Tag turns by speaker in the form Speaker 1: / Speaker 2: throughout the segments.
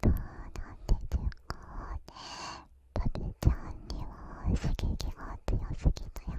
Speaker 1: どうなんでしょかパピちゃんには刺激が強すぎたよね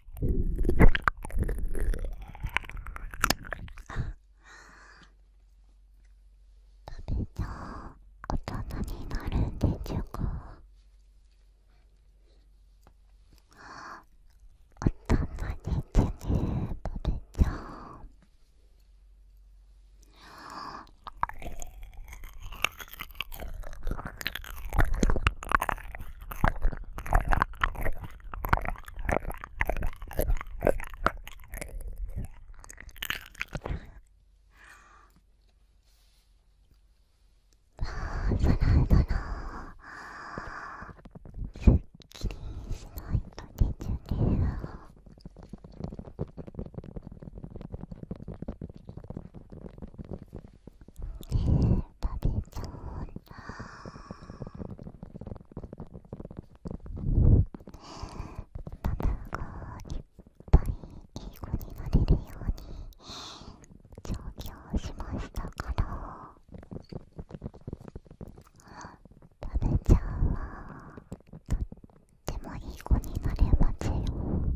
Speaker 1: とべちゃう大人になるんでちゅか大人にてね食べちゃうすっきりしないと出てくる。ちゃんが、いっぱいいい子になれるように上京しましたから食べちゃうわとってもいい子になれますよ。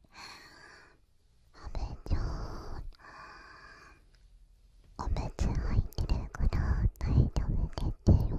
Speaker 1: めちゃおめつ入ってるから大丈夫でてよ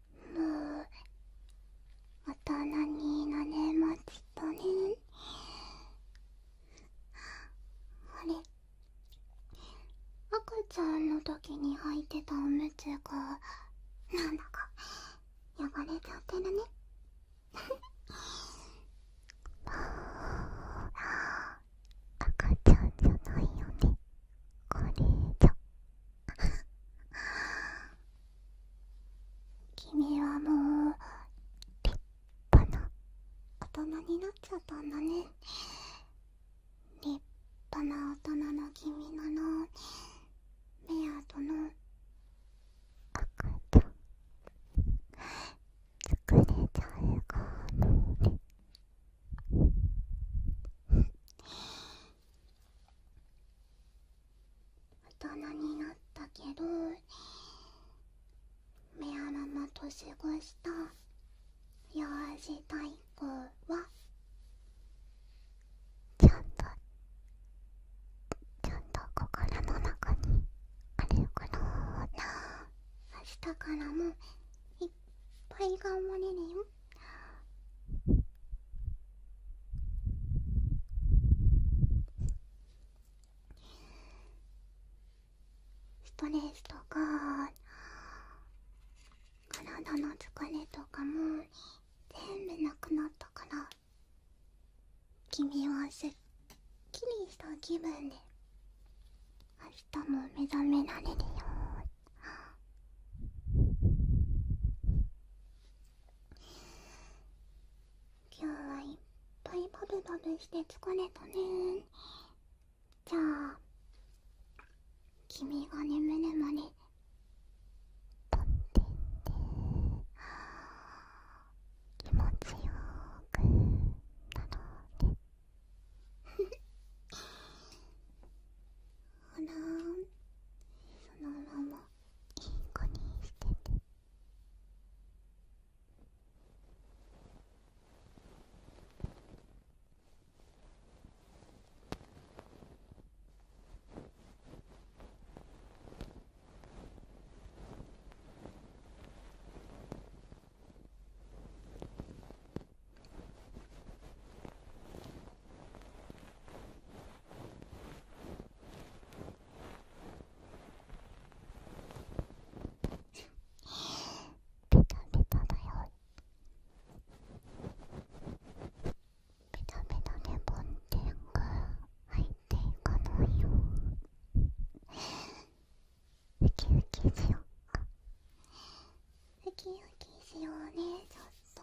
Speaker 1: もうた人になれましたねあれ赤ちゃんの時に履いてたおむつがなんだか汚れちゃってるね赤ちゃんじゃないよねこれじゃ君はもう立派な大人になっちゃったんだね立派な大人の君なのメアとの赤ちゃん作れちゃう、かもうね大人になったけど目アの年越した幼児太鼓はちゃんとちゃんと心の中にあるからな明日からもいっぱい頑張れるよストレスとか体の疲れとかも全部なくなったから君はすっきりした気分で明日も目覚められるよ今日はいっぱいバブバブして疲れたねじゃあ君が眠るまでとってって気持ちよくなろうねあらそのままいい子にしててベタベタだよベタベタでボンテンが入っていかないよウキウキしよっかウキウキしようねちょっと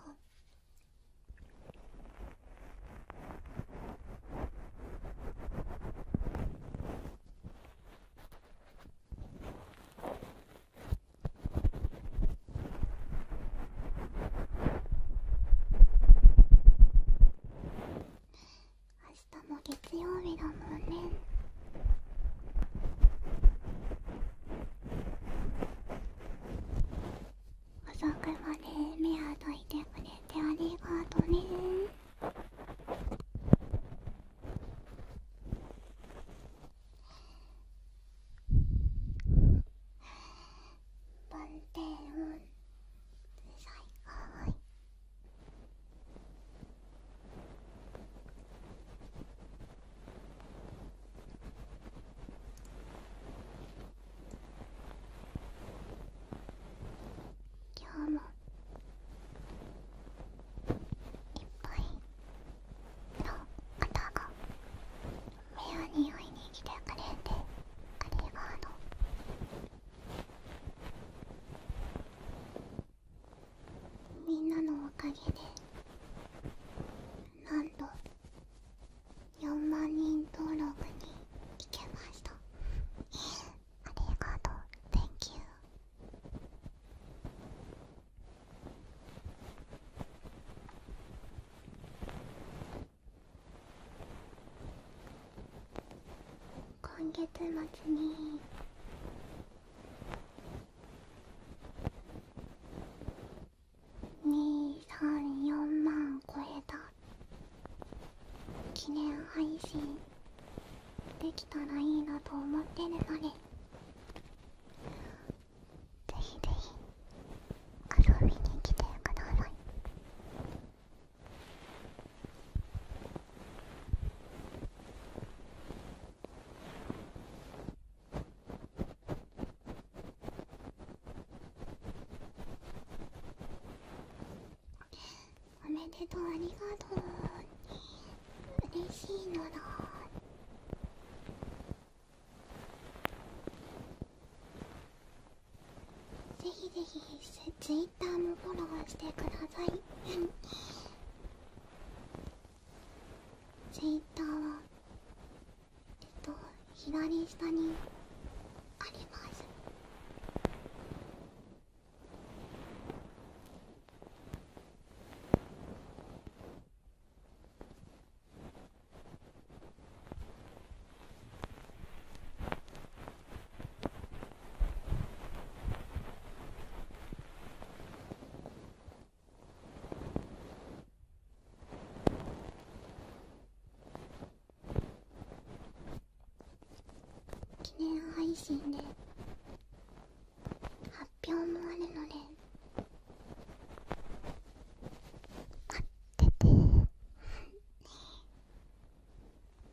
Speaker 1: 明日も月曜日だもんね。遅くまで目をどいてくれてありがとうねバンテ最高い。今日もいっぱいの方が目をにおいに来てくれてありがとう。みんなのおかげでなんと4万人登録に行けましたありがとう Thank you 今月末に234万超えた記念配信できたらいいなと思ってるのでぜひぜひ遊びに来てくださいおめでとうありがとう嬉しいのだぜひぜひツイッターもフォローしてくださいツイッターはえっと左下にあります記念配信で発表もあるので待ってて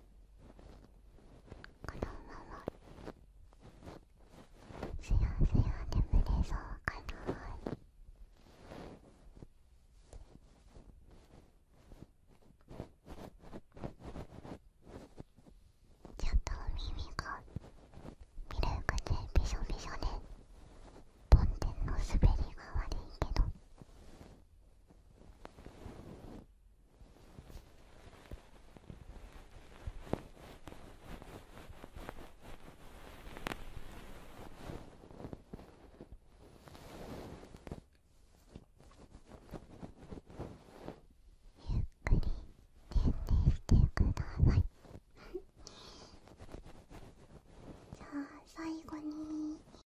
Speaker 1: このまますやすや眠れそうかなーちょっと耳がミルクでびしょびしょで飛んの滑りが悪いけどゆっくり点々してください じゃあ最後に